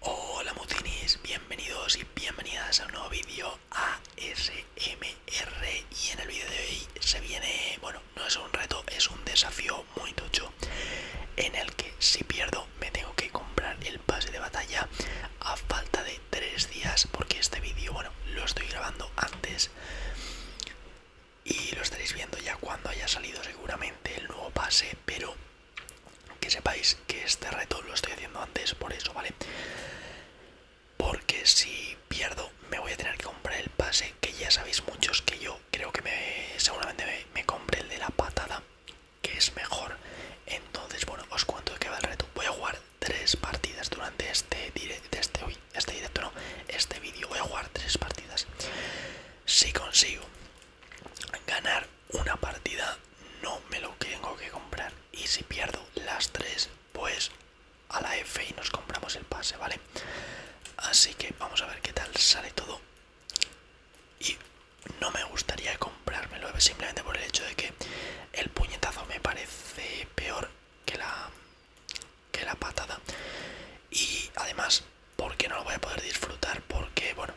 Hola mutinis, bienvenidos y bienvenidas a un nuevo vídeo ASMR y en el vídeo de hoy se viene, bueno, no es un reto, es un desafío muy tocho en el que si pierdo me tengo que comprar el pase de batalla a falta de tres días porque este vídeo, bueno, lo estoy grabando antes y lo estaréis viendo ya cuando haya salido seguramente el nuevo pase, pero que sepáis que este reto lo estoy haciendo antes por eso, ¿vale? Porque si pierdo me voy a tener que comprar el pase, que ya sabéis muchos que yo creo que me, seguramente me, compré el de la patada, que es mejor. Entonces, bueno, os cuento que va el reto. Voy a jugar tres partidas durante este, directo, este, hoy este directo, no, este vídeo. Voy a jugar tres partidas. Si consigo ganar una partida no me lo tengo que comprar y si pierdo las tres pues a la F y nos compramos el pase, ¿vale? Así que vamos a ver qué tal sale todo y no me gustaría comprarme comprármelo simplemente por el hecho de que el puñetazo me parece peor que la, que la patada y además porque no lo voy a poder disfrutar porque bueno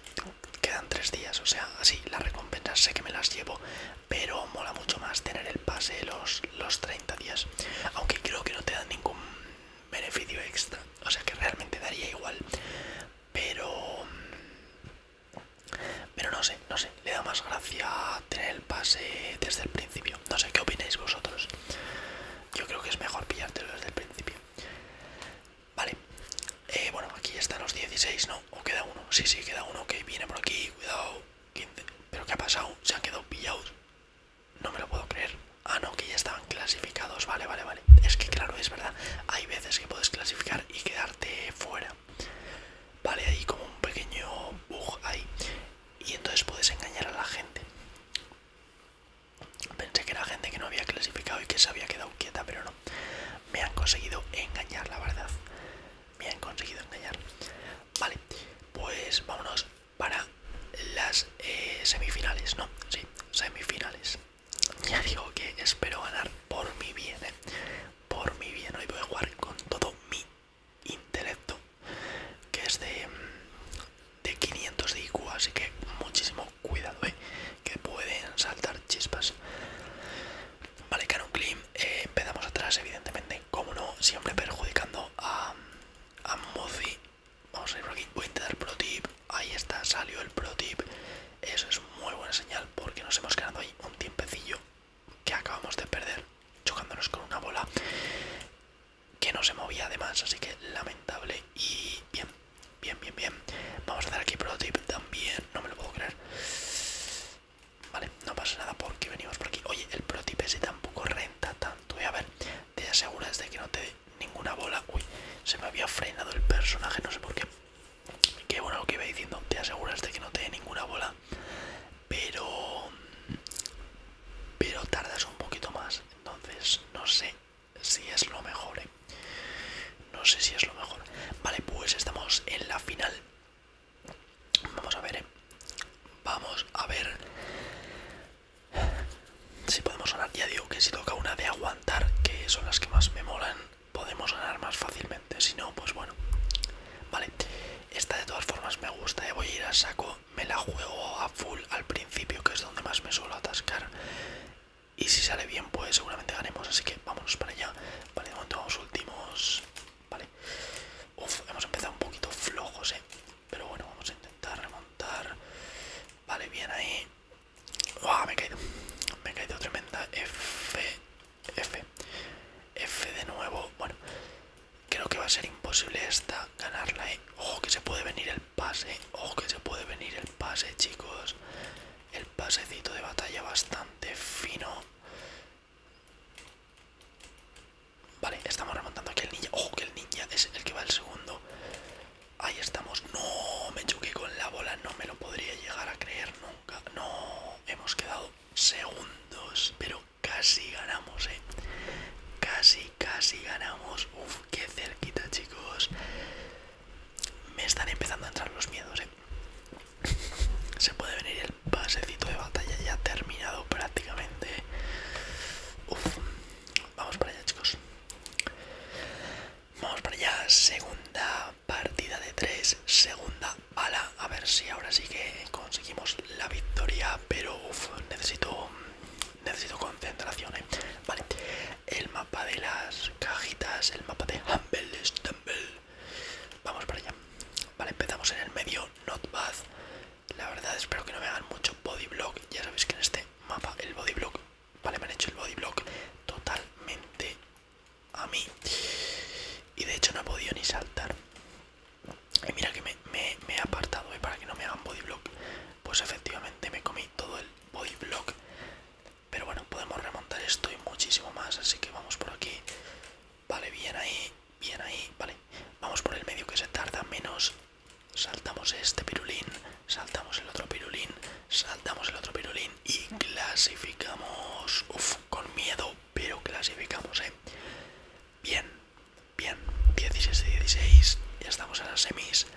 quedan tres días o sea así las recompensas sé que me las llevo pero mola mucho más tener el pase los, los 30 días aunque creo que no te dan ningún beneficio extra o sea que realmente daría igual pero pero no sé no sé le da más gracia tener el pase desde el principio no sé qué opináis vosotros yo creo que es mejor pillártelo desde el principio Vale, eh, bueno, aquí están los 16, ¿no? ¿O queda uno? Sí, sí, queda uno. que viene por aquí, cuidado. ¿Pero qué ha pasado? ¿Se han quedado pillados? No me lo puedo creer. Ah, no, que ya estaban clasificados. Vale, vale, vale. Es que claro, es verdad. Hay veces que puedes clasificar y quedarte fuera. Vale, ahí como un pequeño bug ahí. Y entonces puedes engañar a la gente. Pensé que era gente que no había clasificado y que se había quedado quieta, pero no. Me han conseguido engañar, la verdad. Me han conseguido engañar. Vale, pues vámonos para las eh, semifinales, ¿no? Sí, semifinales. Ya digo que espero ganar por mi bien, ¿eh? Por mi bien. Hoy voy a jugar con todo mi intelecto, que es de, de 500 de IQ, así que muchísimo cuidado, ¿eh? que pueden saltar chispas. Vale, Canon Clean, eh, empezamos atrás, evidentemente, como no, siempre perjudicando a, a Mozi. Vamos a ir por aquí, voy a intentar pro tip, ahí está, salió el pro tip. Eso es muy buena señal porque nos hemos quedado ahí un tiempecillo que acabamos de perder chocándonos con una bola que no se movía además, así que lamentable. Y bien, bien, bien, bien. Vamos a hacer aquí protip también, no me lo puedo creer. Vale, no pasa nada porque venimos por aquí. Oye, el protip ese tampoco renta tanto. Y eh. a ver, te aseguras de que no te dé ninguna bola. Uy, se me había frenado el personaje, no sé por qué. Qué bueno lo que iba diciendo, te aseguras de que no te dé ninguna bola. Pero... Pero tardas un poquito más entonces no sé si es lo mejor, ¿eh? no sé si es lo mejor. Vale, pues estamos en la final. Vamos a ver, ¿eh? vamos a ver si podemos ganar. Ya digo que si toca una de aguantar, que son las que más me molan, podemos ganar más fácilmente. Si no, pues bueno. Vale, esta de todas formas me gusta. ¿eh? Voy a ir a saco me la juego a full al principio, que es donde más me suelo atascar. Y si sale bien, pues seguramente ganemos. Así que vámonos para allá. Vale, de vamos últimos. Vale. Uf, hemos empezado un poquito flojos, eh. Pero bueno, vamos a intentar remontar. Vale, bien ahí. me he caído. Me he caído tremenda. F. F. F de nuevo. Bueno. Creo que va a ser imposible esta ganarla, ¿eh? Ojo que se puede venir el pase, ojo que se puede venir el pase, chicos. El pasecito de batalla bastante fino. Vale, estamos remontando aquí el ninja. Ojo que el ninja es el que va el segundo. Ahí estamos. No, me choqué con la bola. No me lo podría llegar a creer nunca. No, hemos quedado segundos. Pero Casi ganamos, eh. Casi, casi ganamos. Uf, qué cerquita, chicos. Me están empezando a entrar los miedos, eh. Se puede venir el pasecito de batalla ya terminado prácticamente. Uf, vamos para allá, chicos. Vamos para allá. Segunda partida de tres. Segunda a ver si ahora sí que conseguimos la victoria, pero necesito, necesito concentración. ¿eh? Vale, el mapa de las cajitas, el mapa de Humble Stumble. Vamos para allá. Vale, empezamos en el medio, not bad. La verdad espero que no me hagan mucho body Ya sabéis que en este mapa el body vale, me han hecho el body totalmente a mí. Y de hecho no he podido ni saltar. Y eh, mira que me, he apartado y eh, para que no me hagan bodyblock. Pues efectivamente me comí todo el bodyblock. Pero bueno, podemos remontar esto y muchísimo más. Así que vamos por aquí. Vale, bien ahí, bien ahí. Vale, vamos por el medio que se tarda menos. Saltamos este pirulín, saltamos el otro pirulín, saltamos el otro pirulín y clasificamos. Uff, con miedo, pero clasificamos, ¿eh? Bien, bien, 16-16, ya estamos en las semis.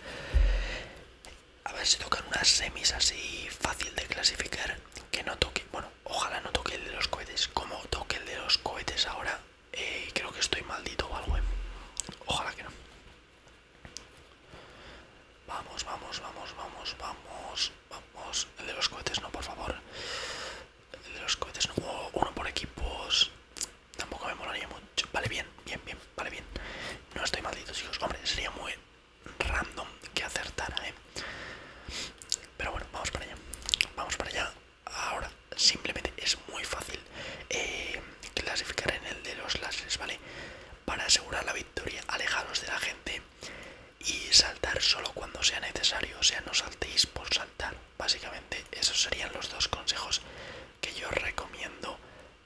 A ver si tocan unas semis así fácil de clasificar, que no toque, bueno, ojalá no toque el de los cohetes, como toque el de los cohetes ahora, eh, creo que estoy maldito o algo, ¿eh? ojalá que no. Vamos, vamos, vamos, vamos, vamos vamos. El de los cohetes no, por favor. El de los cohetes no. uno por equipos. Tampoco me molaría mucho. Vale, bien, bien, bien, vale, bien. No estoy maldito, chicos. Hombre, sería muy random que acertara, ¿eh? Pero bueno, vamos para allá. Vamos para allá. Ahora, simplemente es muy fácil eh, clasificar en el de los lasers, ¿vale? Para asegurar la victoria, alejaros de la gente y saltar solo cuando sea necesario, o sea, no saltéis por saltar. Básicamente esos serían los dos consejos que yo recomiendo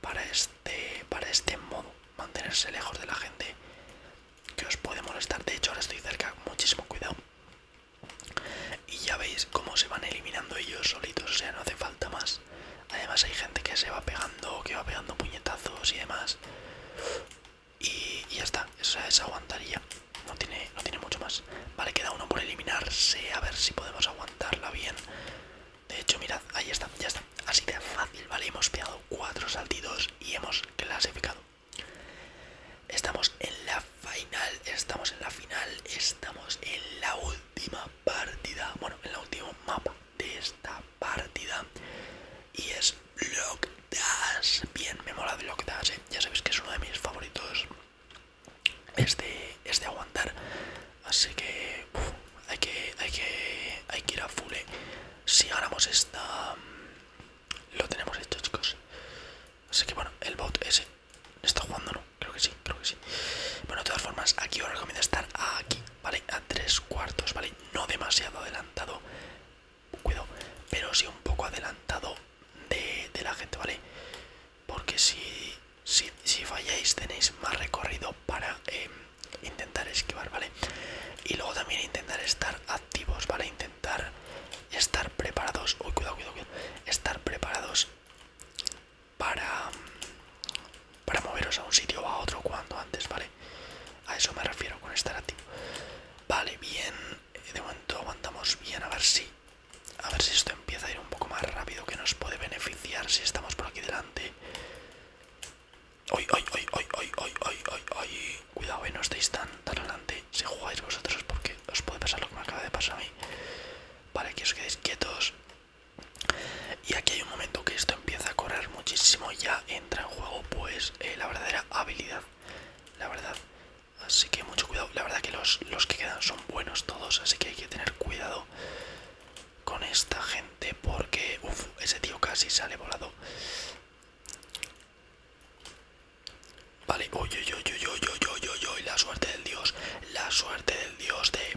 para este, para este modo, mantenerse lejos de la gente que os puede molestar. De hecho, ahora estoy cerca, muchísimo cuidado. Y ya veis cómo se van eliminando ellos solitos, o sea, no hace falta más. Además hay gente que se va pegando, que va pegando puñetazos y demás y, ya está, esa, aguantaría, no tiene, no tiene mucho más. Vale, queda uno por eliminarse, a ver si podemos aguantarla bien. De hecho, mirad, ahí está, ya está, así de fácil, ¿vale? Hemos pegado cuatro saltidos y hemos clasificado. Estamos en la final, estamos en la final, estamos en la última partida, bueno, en el último mapa de esta partida y es Lock Dash. Bien, me mola Lock Dash, ¿eh? ya sabéis que es uno de mis favoritos. este de, es de aguantar, así que hay que hay que hay que ir a full. ¿eh? Si ganamos esta, lo tenemos hecho, chicos. Así que bueno, el bot ese está jugando, ¿no? Creo que sí, creo que sí. Bueno, de todas formas, aquí os recomiendo estar aquí ¿vale? A tres cuartos, ¿vale? No demasiado adelantado, cuidado, pero sí un poco adelantado de, la gente, ¿vale? Porque si, si, falláis tenéis más recorrido para em, intentar esquivar, ¿vale? Y luego también intentar estar activos, ¿vale? Intentar estar preparados, uy, cuidado, cuidado, cuidado, estar preparados para para moveros a un sitio o a otro cuando antes, ¿vale? A eso me refiero con estar activo. Vale, bien. Eh, de momento aguantamos bien a ver si. A ver si esto empieza a ir un poco más rápido, que nos puede beneficiar si estamos por aquí delante. ¡Ay, ay, ay, ay, ay, ay, ay, ay! Cuidado, eh, no estáis tan, tan adelante si jugáis vosotros porque os puede pasar lo que me acaba de pasar a mí. Vale, que os quedéis quietos. Y aquí hay un momento que esto empieza a correr muchísimo y ya entra en juego pues eh, la verdadera habilidad, la verdad. Así que mucho cuidado, la verdad que los, que quedan son buenos todos, así que hay que tener cuidado con esta gente porque uff, ese tío casi sale volado. Vale, oye, oye, oye, oye, oye, oye, la suerte del dios, la suerte del dios de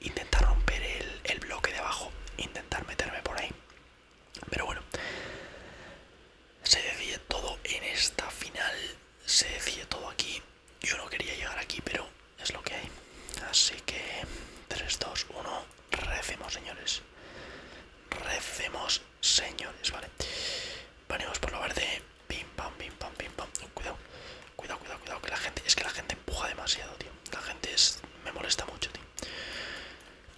intentar romper el, bloque de abajo, intentar meterme por ahí. Pero bueno, se decide todo en esta final, se decide todo aquí. Yo no quería llegar aquí, pero es lo que hay. Así que 3, 2, 1, recemos señores. Recemos señores, vale. Venimos por la verde. Pim pam, pim pam, pim pam. Cuidado, cuidado, cuidado, cuidado. Que la gente, es que la gente empuja demasiado, tío. La gente es, me molesta mucho, tío.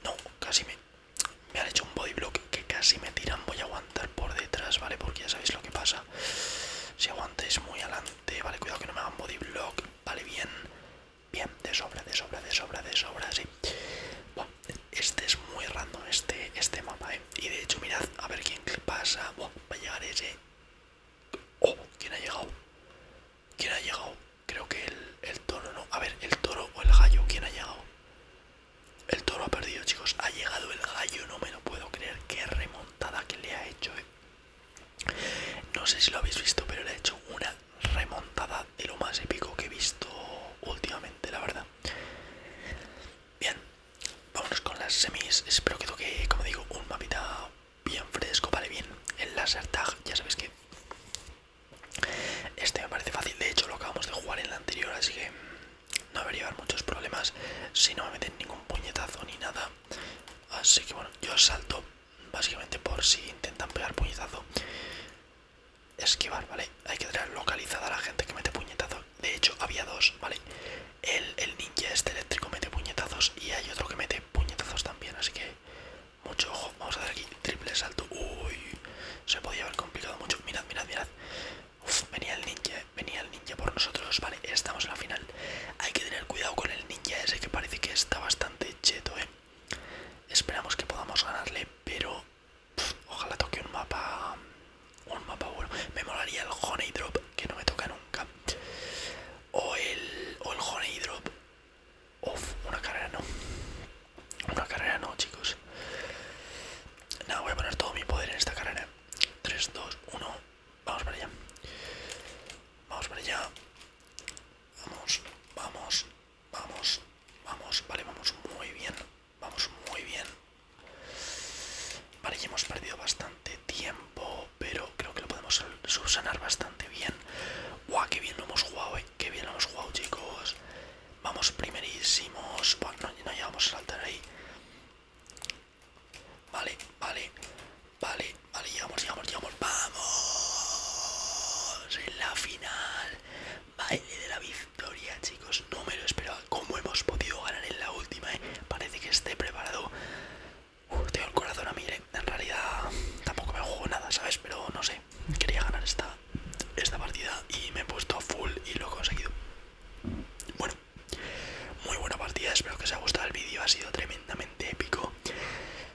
No, casi me, me han hecho un body block que casi me tiran. Voy a aguantar por detrás, ¿vale? Porque ya sabéis lo que pasa. Si aguantáis muy adelante, vale, cuidado que no me hagan body block. Vale, bien, bien, de sobra, de sobra, de sobra, de sobra, sí. Bueno, este es muy random, este, este mapa, ¿eh? Y de hecho, mirad, a ver quién pasa. Bueno, va a llegar ese. Oh, ¿quién ha llegado? ¿Quién ha llegado? Creo que el, toro, ¿no? A ver, el toro o el gallo, ¿quién ha llegado? El toro ha perdido, chicos. Ha llegado el gallo, no me lo puedo creer. Qué remontada que le ha hecho, eh. No sé si lo habéis visto, pero le ha hecho una remontada de lo más épico que he visto últimamente, la verdad. Bien, Vámonos con las semis. Espero que toque, como digo, un mapita bien fresco, vale, bien. El laser tag, ya sabes que este me parece fácil. De hecho, lo acabamos de jugar en la anterior, así que no debería haber muchos problemas si no me meten ningún puñetazo ni nada. Así que bueno, yo salto básicamente por si intentan pegar puñetazo. Esquivar, vale. Hay que tener localizada a la gente que mete puñetazo de hecho había dos, ¿vale? El, ninja este eléctrico mete puñetazos y hay otro que mete puñetazos también, así que mucho ojo. Vamos a hacer aquí triple salto. Uy, se podía haber complicado mucho. Mirad, mirad, mirad. venía el ninja, eh, venía el ninja por nosotros, ¿vale? Estamos en la final. Hay que tener cuidado con el ninja ese que parece que está bastante cheto, ¿eh? Esperamos que podamos ganarle, pero ojalá toque un mapa. Un mapa bueno. Me molaría el Honey Drop, que no me toca nunca. O el, o el Honey Drop. Uf, una carrera no. Una carrera no, chicos. Nada, voy a poner todo mi poder en esta carrera. 3, 2, 1. Vamos para allá. Vamos para allá. Vamos, vamos, vamos, vamos. Vale, vamos muy bien vamos muy bien. Vale, ya hemos perdido bastante tiempo, pero creo que lo podemos subsanar bastante bien. ¡Guau, qué bien lo hemos jugado, eh! ¡Qué bien lo hemos jugado, chicos! Vamos primerísimos. no, no llegamos a saltar ahí. Vale, vale, vale, vale, llegamos, llegamos, llegamos. ¡Vamos! En la final. Baile de la bici. Gloria, chicos, no me lo esperaba. como hemos podido ganar en la última? Eh. Parece que esté preparado. tengo el corazón a mí, eh. en realidad tampoco me juego nada, ¿sabes? Pero no sé, quería ganar esta, esta partida y me he puesto a full y lo he conseguido. Bueno, muy buena partida, espero que os haya gustado el vídeo, ha sido tremendamente épico.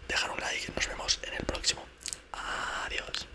Dejar un like, nos vemos en el próximo. Adiós.